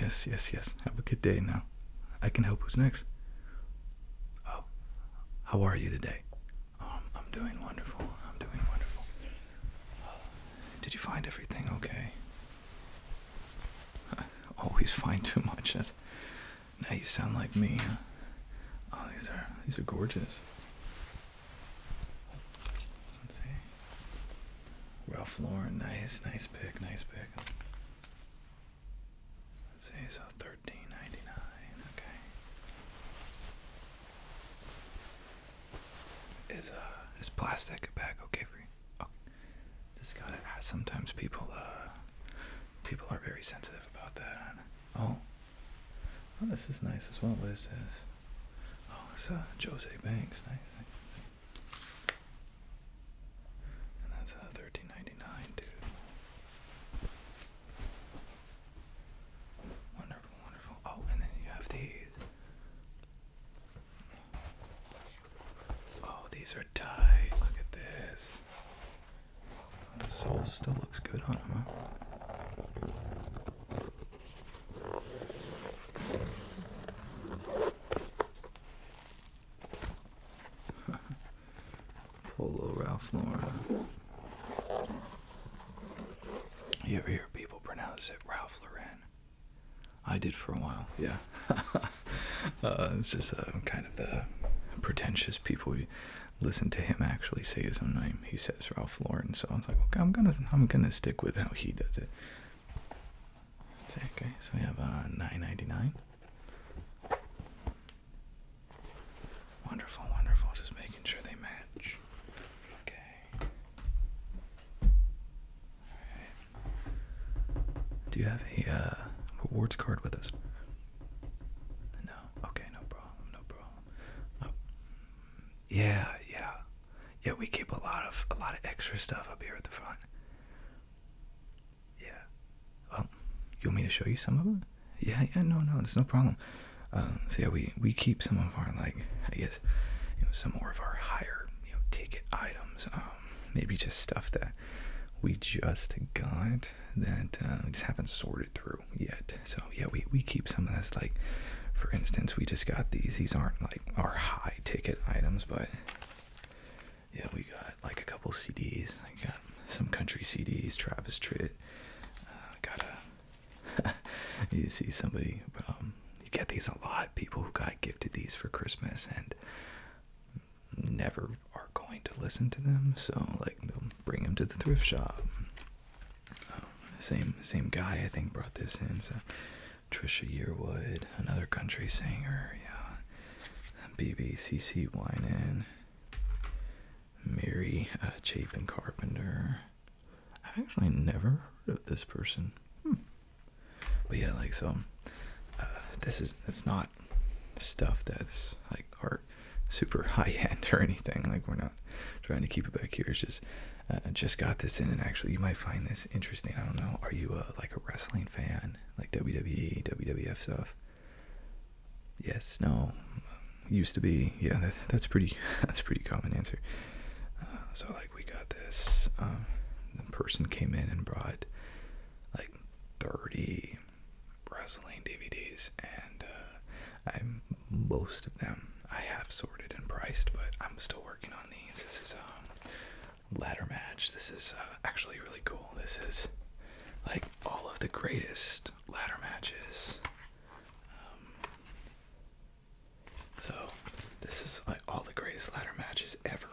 Yes, yes, yes. Have a good day now. I can help. Who's next? Oh, how are you today? Um, I'm, doing wonderful. I'm doing wonderful. did you find everything okay? I always find too much. now you sound like me. Oh, these are these are gorgeous. Let's see. Ralph Lauren, nice, nice pick, nice pick. Let's see, so thirteen ninety nine. Okay. Is uh is plastic bag okay for you? Oh, just gotta ask. Sometimes people uh people are very sensitive about that. Oh. Oh, this is nice as well. What is this? Oh, it's uh, Jose Banks. Nice, nice. And that's uh, thirteen ninety nine too. Wonderful, wonderful. Oh, and then you have these. Oh, these are tight. Look at this. The soul still looks good on them, Polo Ralph Lauren. You ever hear people pronounce it Ralph Lauren? I did for a while. Yeah. uh, it's just uh, kind of the pretentious people. You listen to him actually say his own name. He says Ralph Lauren, so I was like, okay, I'm gonna, I'm gonna stick with how he does it okay. So we have uh, nine ninety nine. Wonderful, wonderful. Just making sure they match. Okay. Do you have a uh, rewards card with us? No. Okay, no problem, no problem. Oh. Yeah, yeah. Yeah, we keep a lot of a lot of extra stuff up here at the front. Yeah. Well, oh, you want me to show you some of them? Yeah, yeah, no, no, it's no problem. Um, so yeah, we we keep some of our like I guess some more of our higher ticket items. Um, maybe just stuff that we just got that uh, we just haven't sorted through yet. So yeah, we we keep some of this like. For instance, we just got these. These aren't like our high ticket items, but yeah, we got like a couple CDs. I got some country CDs, Travis Tritt. Uh, got a. you see somebody. Um, you get these a lot. People who got gifted these for Christmas and never are going to listen to them. So like they'll bring them to the thrift shop. Um, same same guy I think brought this in. So Trisha Yearwood, another country singer, yeah. BBCC Winan, Mary uh, Chapin Carpenter. I've actually never heard of this person. Hmm. But yeah, like so, uh, this is it's not stuff that's like art super high end or anything. Like we're not trying to keep it back here. It's just uh, just got this in, and actually you might find this interesting. I don't know. Are you a, uh, like a wrestling fan, like WWE, WWF stuff? Yes. No. Used to be. Yeah. that's pretty. That's pretty common answer. Uh, so like we got this. Um, the person came in and brought like 30 wrestling DVDs, and uh, I'm most of them I have sorted and priced, but I'm still working on these. This is um ladder match. This is uh, actually really cool. This is like all of the greatest ladder matches. Um, so, this is like all the greatest ladder matches ever.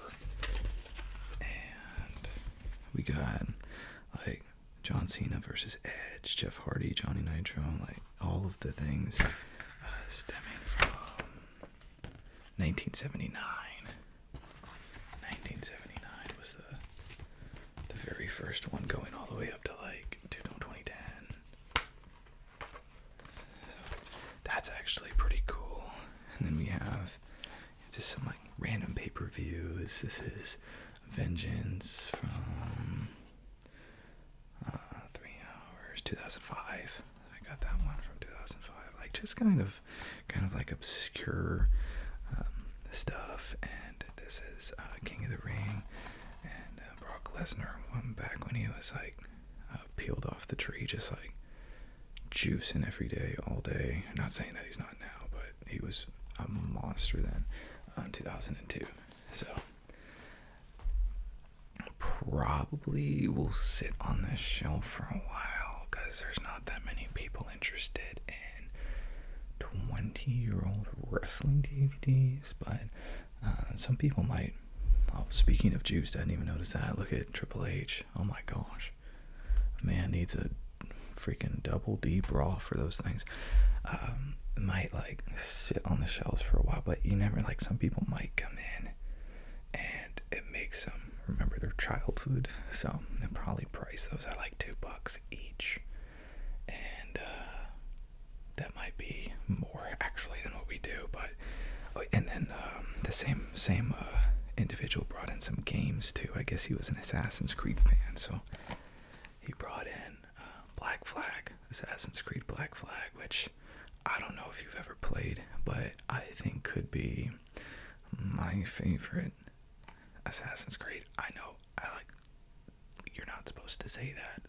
And we got like John Cena versus Edge, Jeff Hardy, Johnny Nitro, like all of the things uh, stemming from 1979. 1979 was the the very first one going all the way up to like 2010. that's actually pretty cool. And then we have just some like random pay-per-views. This is Vengeance from uh, three hours, 2005. I got that one from 2005. Like just kind of, kind of like obscure um, stuff. And this is uh, King of the Ring, and uh, Brock Lesnar one back when he was like uh, peeled off the tree, just like juicing every day, all day. not saying that he's not now, but he was a monster then, um, 2002. So probably will sit on this shelf for a while because there's not that many people interested in 20 year old wrestling DVDs, but uh, some people might. Oh, speaking of juice, I didn't even notice that. Look at Triple H. Oh my gosh. Man needs a freaking double D bra for those things. Um, might like sit on the shelves for a while, but you never like some people might come in and it makes them remember their childhood. So they probably price those at like two bucks each, and uh, that might be more actually than what we do. But oh, and then um, the same same uh, individual brought in some games too. I guess he was an Assassin's Creed fan, so he brought in uh, Black Flag, Assassin's Creed Black Flag, which I don't know if you've ever played, but I think could be my favorite Assassin's Creed. I know I like you're not supposed to say that,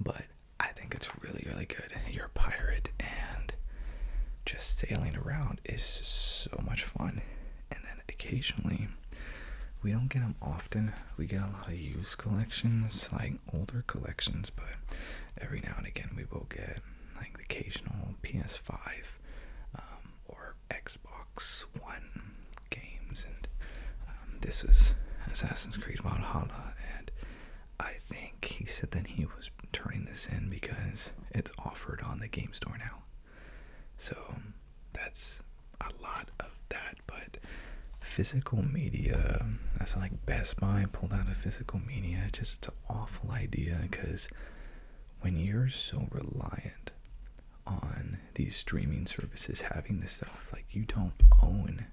but I think it's really really good. You're pirate and just sailing around is so much fun. And then occasionally we don't get them often. We get a lot of used collections, like older collections, but every now and again we will get like the occasional PS5 um, or Xbox One games, and um, this was Assassin's Creed Valhalla, and I think he said that he was turning this in because it's offered on the game store now. So that's a lot of that, but physical media, that's like Best Buy pulled out of physical media. It's just it's an awful idea because when you're so reliant on these streaming services having the stuff, like you don't own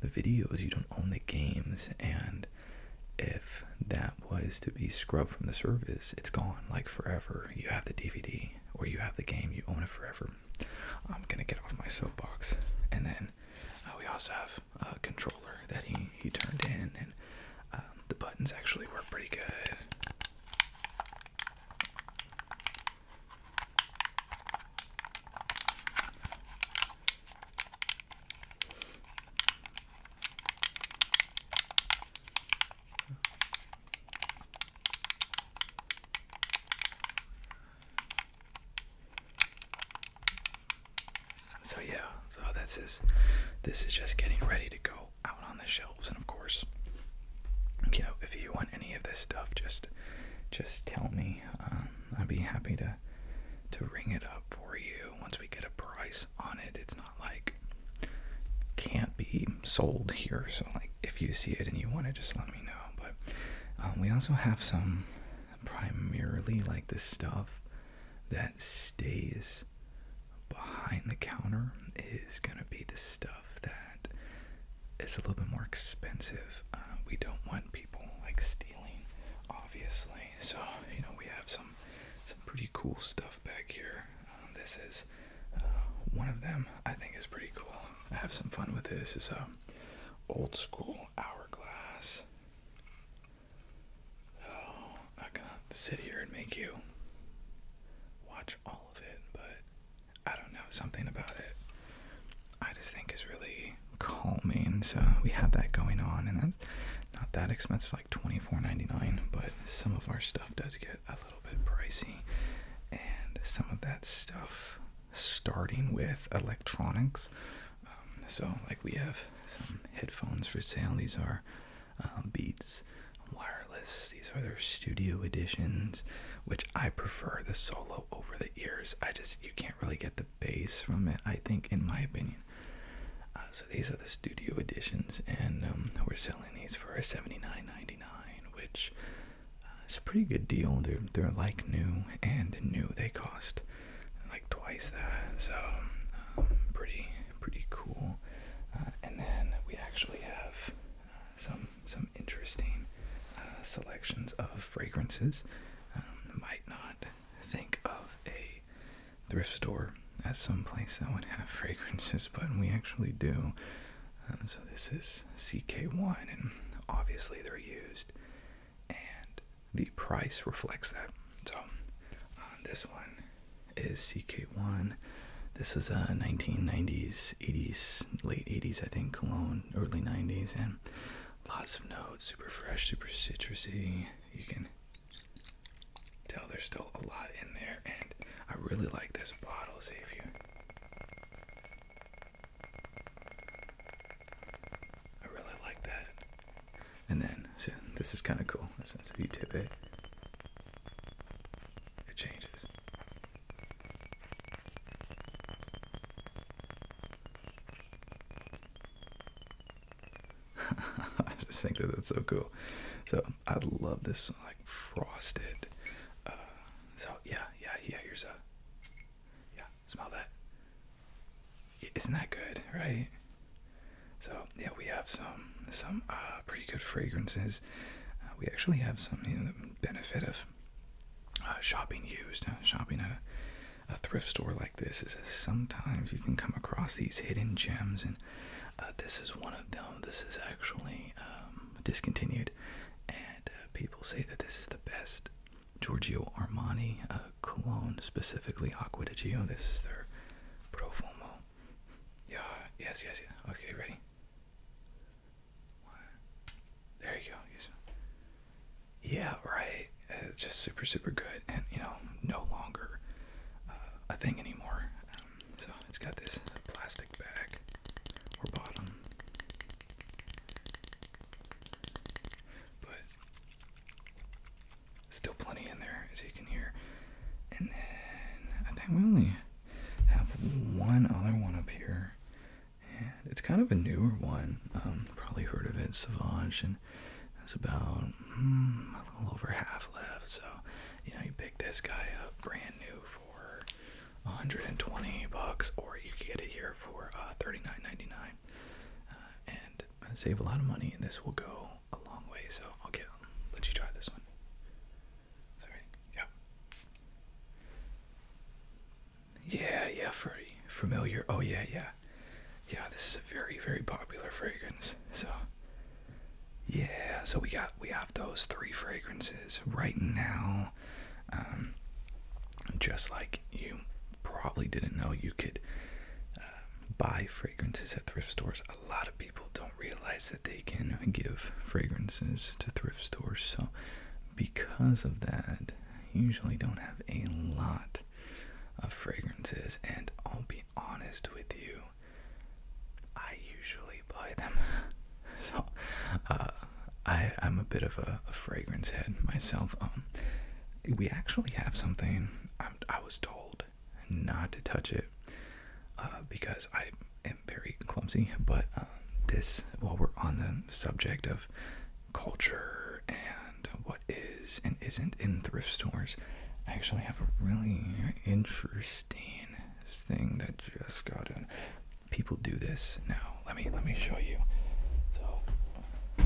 the videos, you don't own the games, and if that was to be scrubbed from the service, it's gone like forever. You have the DVD or you have the game, you own it forever. I'm gonna get off my soapbox, and then uh, we also have uh, controller that he he turned in, and um, the buttons actually were pretty good. So yeah, so that's his. This is just getting ready to go out on the shelves, and of course, you know, if you want any of this stuff, just just tell me. Um, I'd be happy to to ring it up for you once we get a price on it. It's not like can't be sold here. So like, if you see it and you want it, just let me know. But um, we also have some primarily like this stuff that stays behind the counter is going to be the stuff that is a little bit more expensive. Uh, we don't want people like stealing, obviously. So you know we have some some pretty cool stuff back here. Um, this is uh, one of them. I think is pretty cool. I have some fun with this. is a old school hourglass. Oh, I'm gonna sit here and make you watch all of it, but I don't know, something about it I just think it's really calming. So we have that going on, and that's not that expensive, like twenty-four ninety-nine. but some of our stuff does get a little bit pricey, and some of that stuff starting with electronics. Um, so, like, we have some headphones for sale. These are um, Beats wireless. These are their studio editions, which I prefer the solo over the ears. I just you can't really get the bass from it. I think, in my opinion. Uh, so these are the studio editions, and um, we're selling these for $79.99, which uh, is a pretty good deal. They're they're like new and new. They cost like twice that. So um, pretty pretty cool. Uh, and then we actually have uh, some some interesting uh, selections of fragrances. Um, might not think of a thrift store as some place that would have fragrances, but we actually do. Um, so this is CK1, and obviously they're used, and the price reflects that. So on this one is CK1. This was a 1990s, 80s, late 80s, I think, cologne, early 90s, and lots of notes, super fresh, super citrusy. You can tell there's still a lot in there, and I really like this bottle, see if you. I really like that and then, so this is kind of cool. So you tip it, eh? it changes. I just think that that's so cool. So I love this like frosted. Uh, so yeah, yeah, yeah. Here's a yeah. Smell that. Isn't that good, right? So yeah, we have some some uh, pretty good fragrances. Uh, we actually have some benefit of uh, shopping used, shopping at a, thrift store like this is that sometimes you can come across these hidden gems, and this is one of them. This is actually um, discontinued, and people say that this is the best Giorgio Armani cologne, specifically Acqua di Gio. This is their Profumo yeah, yes, yes, yes. Okay, ready? There you go. Yes. Yeah, right. It's just super, super good, and you know, no longer uh, a thing anymore. so it's got this plastic bag or bottom, but Still plenty in there, as you can hear. And then I think we only have one other one up here. And it's kind of a newer one. Um, probably heard of it, Savage, and it's about hmm, a little over half left. So, you know, you pick this guy up brand new for 120 bucks, or you could get it here for uh, 39.99, uh, and save a lot of money. And this will go a long way, so I'll get let you try this one. Sorry. Yeah. Yeah, yeah, Ferdy. Familiar. Oh yeah, yeah. Yeah, this is a very, very popular fragrance. So yeah, so we got we have those three fragrances right now. Um, just like you probably didn't know, you could uh, buy fragrances at thrift stores. A lot of people don't realize that they can give fragrances to thrift stores, so because of that, you usually don't have a lot of fragrances. And I'll be honest with you, I usually buy them. so, uh, I am a bit of a, fragrance head myself. Um, we actually have something. I was told not to touch it uh, because I am very clumsy. But uh, this, while we're on the subject of culture and what is and isn't in thrift stores, I actually have a really interesting thing that just got in. People do this now. Let me let me show you. So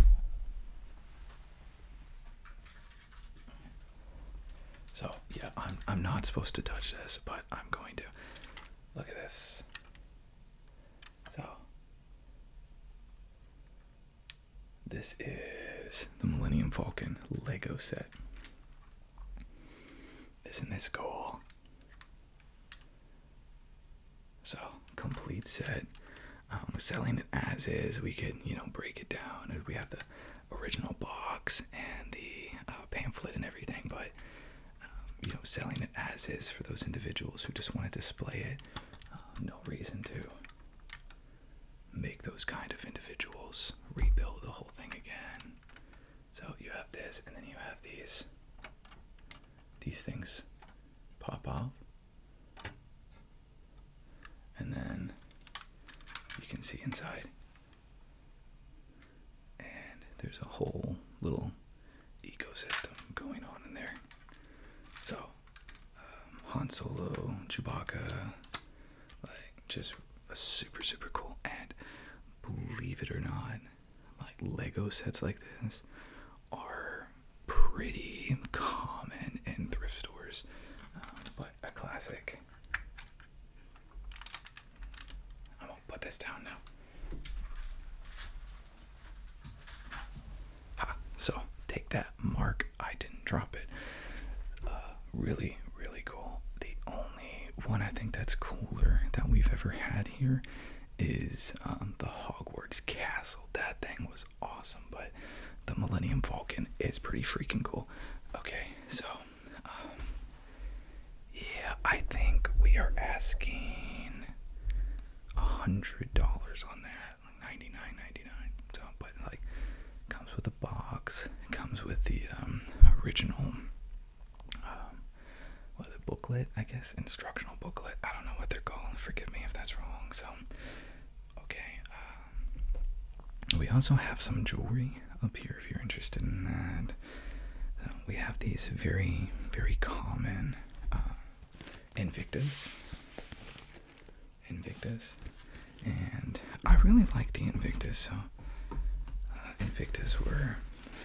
so yeah, I'm I'm not supposed to touch this, but I'm going to. Look at this. So this is the Millennium Falcon Lego set. Isn't this cool? So complete set. Um, selling it as is, we can you know break it down. We have to original box and the uh, pamphlet and everything, but um, you know, selling it as is for those individuals who just want to display it. Uh, no reason to make those kind of individuals rebuild the whole thing again. So you have this, and then you have these. These things pop off and then you can see inside. And there's a whole little ecosystem going on in there. So, um, Han Solo, Chewbacca, like just a super, super cool. And believe it or not, like Lego sets like this are pretty common in thrift stores. Um, a classic. I'm gonna put this down now. Ah, so take that mark. I didn't drop it. Uh, really, really cool. The only one I think that's cooler that we've ever had here is um, the Hogwarts Castle. That thing was awesome, but the Millennium Falcon is pretty freaking cool. Okay, so um, yeah, I think we are asking a hundred dollars on that, like ninety nine, ninety nine. So, but like, comes with a box. comes with the um, original, um, a booklet, I guess, instructional booklet. I don't know what they're called. Forgive me if that's wrong. So, Okay, um, we also have some jewelry up here if you're interested in that. we have these very, very common uh, Invictas. Invictus, and I really like the Invictus. So uh, Invictus were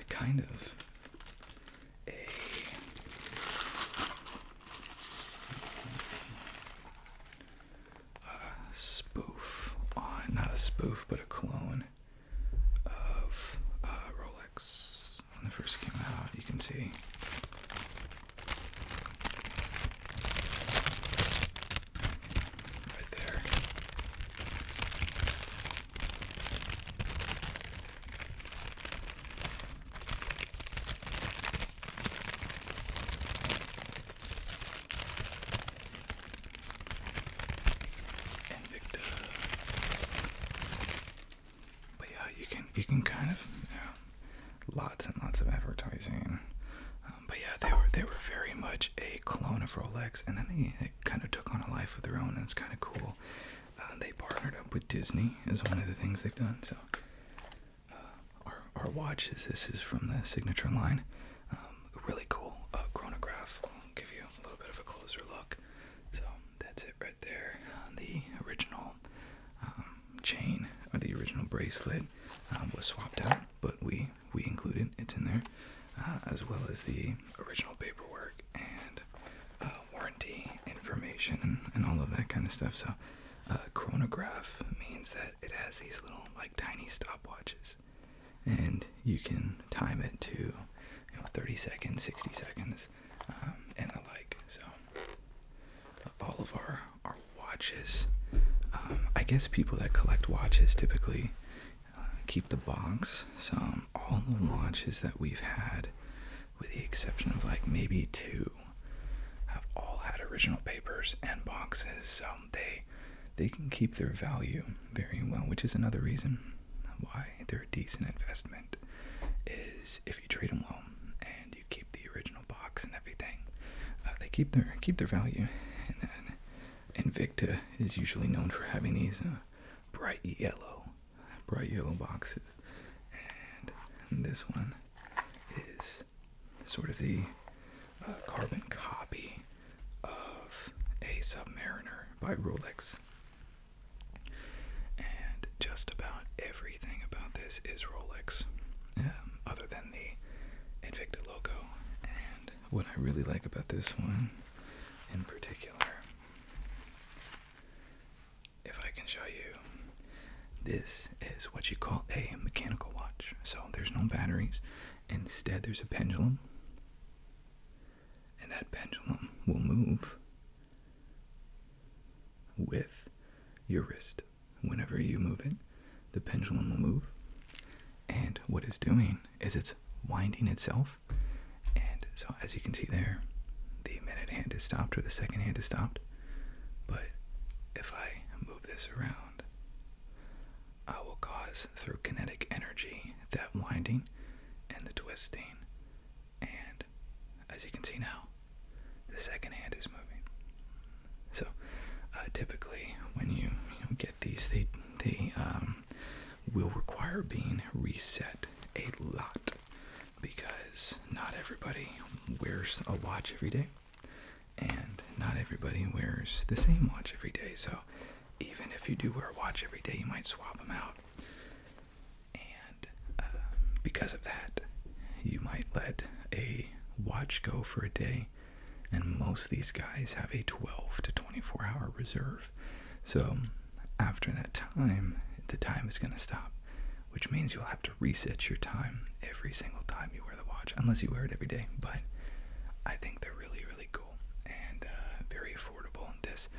kind of a a spoof not a spoof, but a clone of uh, Rolex when they first came out. You can see. Right there and Victor. But yeah, you can you can kind of you know, lots and lots of advertising. Um, but yeah, they were they were very much a clone of Rolex, and then they, they kind of took on a life of their own, and it's kind of cool. Uh, they partnered up with Disney is one of the things they've done. So uh, our, our watches. This is from the Signature line. Um, really cool uh, chronograph. I'll give you a little bit of a closer look. So that's it right there. Uh, the original um, chain or the original bracelet uh, was swapped out, but we we included it's in there, uh, as well as the original paperwork and warranty information and, all of that kind of stuff. So. Uh, chronograph means that it has these little like tiny stopwatches and you can time it to 30 seconds 60 seconds um, and the like so all of our our watches um, i guess people that collect watches typically uh, keep the box so all the watches that we've had with the exception of like maybe two have all had original papers and boxes um, they they can keep their value very well, which is another reason why they're a decent investment is if you treat them well and you keep the original box and everything. Uh, they keep their keep their value, and then Invicta is usually known for having these uh, bright yellow, bright yellow boxes, and this one is sort of the uh, carbon copy of a Submariner by Rolex. And just about everything about this is Rolex, um, other than the Invicta logo. And what I really like about this one in particular, if I can show you, this is what you call a mechanical watch. So there's no batteries, Instead, there's a pendulum, and that pendulum will move with your wrist. Whenever you move it, the pendulum will move, and what it's doing is it's winding itself. And so, as you can see there, the minute hand is stopped or the second hand is stopped. But if I move this around, I will cause through kinetic energy that winding and the twisting. And as you can see now, the second hand is moving. So uh, typically, when you, get these, they, they um, will require being reset a lot because not everybody wears a watch every day and not everybody wears the same watch every day. So even if you do wear a watch every day, you might swap them out. And um, because of that, you might let a watch go for a day. And most of these guys have a 12 to 24 hour reserve. So after that time, the time is going to stop, which means you'll have to reset your time every single time you wear the watch, unless you wear it every day. But I think they're really, really cool and uh, very affordable. This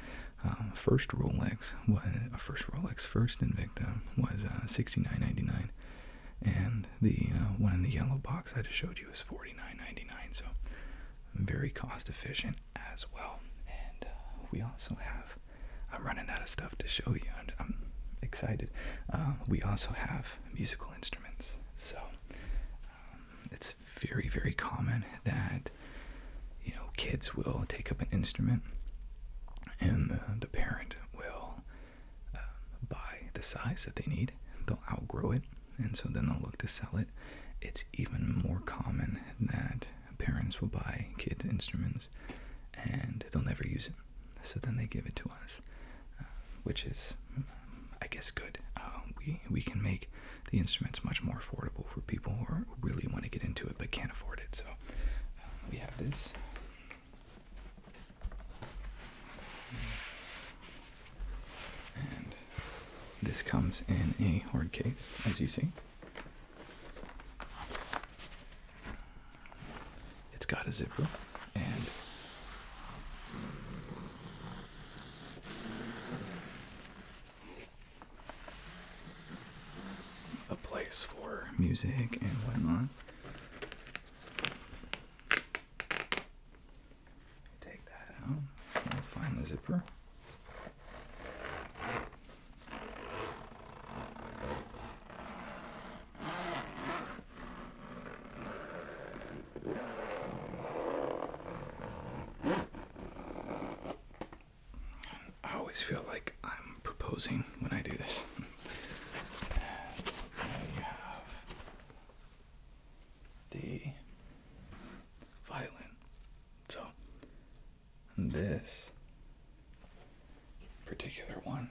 um, first Rolex was uh, first Rolex, first Invicta was uh, $69.99, and the uh, one in the yellow box I just showed you is 99 So very cost efficient as well. And we also have. I'm running out of stuff to show you. I'm, I'm excited. we also have musical instruments. So um, it's very, very common that you know kids will take up an instrument, and the, the parent will uh, buy the size that they need. They'll outgrow it, and so then they'll look to sell it. It's even more common that parents will buy kids instruments, and they'll never use it. So then they give it to us, uh, which is I guess good. Uh, we we can make the instruments much more affordable for people who, really want to get into it but can't afford it. So uh, we have this. And this comes in a hard case, as you see. It's got a zipper and a place for music and whatnot. Take that out. find the zipper. I always feel like I'm proposing when I do this. and have the violin. So this particular one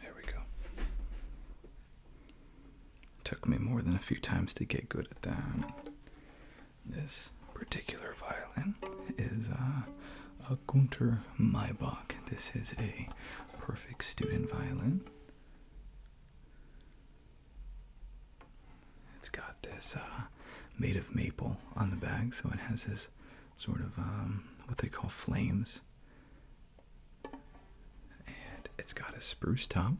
There we go. Took me more than a few times to get good at that. This particular violin is uh, a Gunter Maybach. This is a perfect student violin. It's got this uh, made of maple on the back, so it has this sort of um, what they call flames and it's got a spruce top.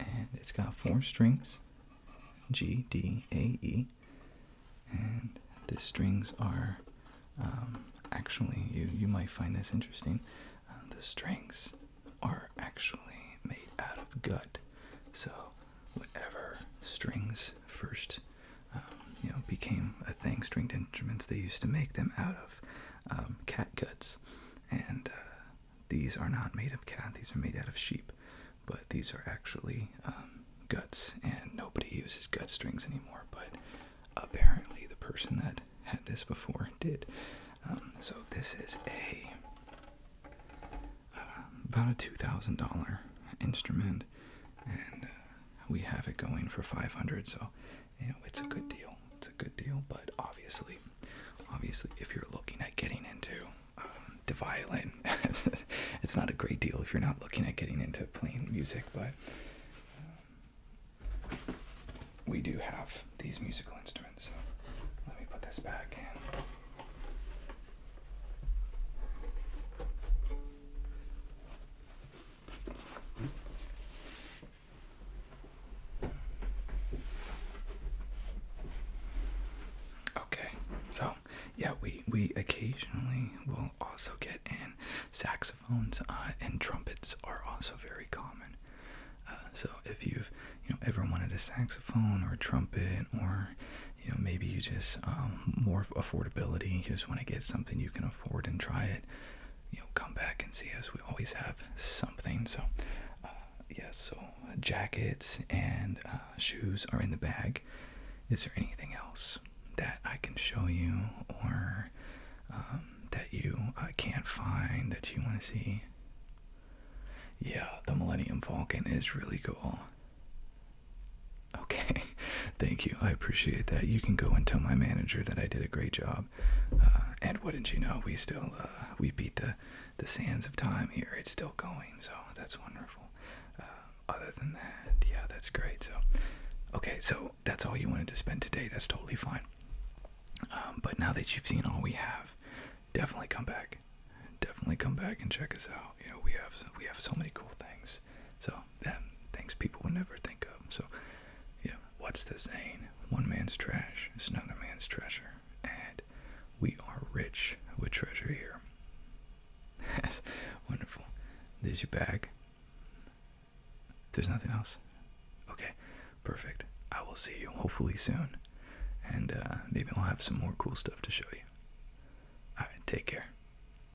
And it's got four strings G, D, A, E. And the strings are um, actually, you, you might find this interesting. Uh, the strings are actually made out of gut. So, whatever strings first you know, became a thing. Stringed instruments they used to make them out of um, cat guts, and uh, these are not made of cat. These are made out of sheep, but these are actually um, guts, and nobody uses gut strings anymore. But apparently, the person that had this before did. Um, so this is a about a two thousand dollar instrument, uh, we have it going for 500 so you know it's a good deal it's a good deal but obviously obviously if you're looking at getting into um, the violin it's, not a great deal if you're not looking at getting into playing music but um, we do have these musical instruments let me put this back Okay, so yeah, we we occasionally will also get in saxophones uh, and trumpets are also very common. Uh, so if you've you know ever wanted a saxophone or a trumpet or you know maybe you just um, affordability. You just want to get something you can afford and try it. You know, come back and see us. We always have something. So, uh, yes. so uh, jackets and uh, shoes are in the bag. Is there anything else that I can show you or um, that you can't find that you want to see? Yeah, the Millennium Falcon is really cool. Okay, thank you. I appreciate that. You can go and tell my manager that I did a great job. Uh, and wouldn't you know, we still uh, we beat the the sands of time here. It's still going, so that's wonderful. Uh, other than that, yeah, that's great. So, okay, so that's all you wanted to spend today. That's totally fine. Um, but now that you've seen all we have, definitely come back. Definitely come back and check us out. You know, we have we have so many cool things. So um, things people would never think of. So, yeah. what's the saying? One man's trash is another man's treasure, and we are rich with treasure here. Yes, wonderful. There's your bag. There's nothing else. Okay, perfect. I will see you hopefully soon, and uh, maybe I'll have some more cool stuff to show you. Alright, take care.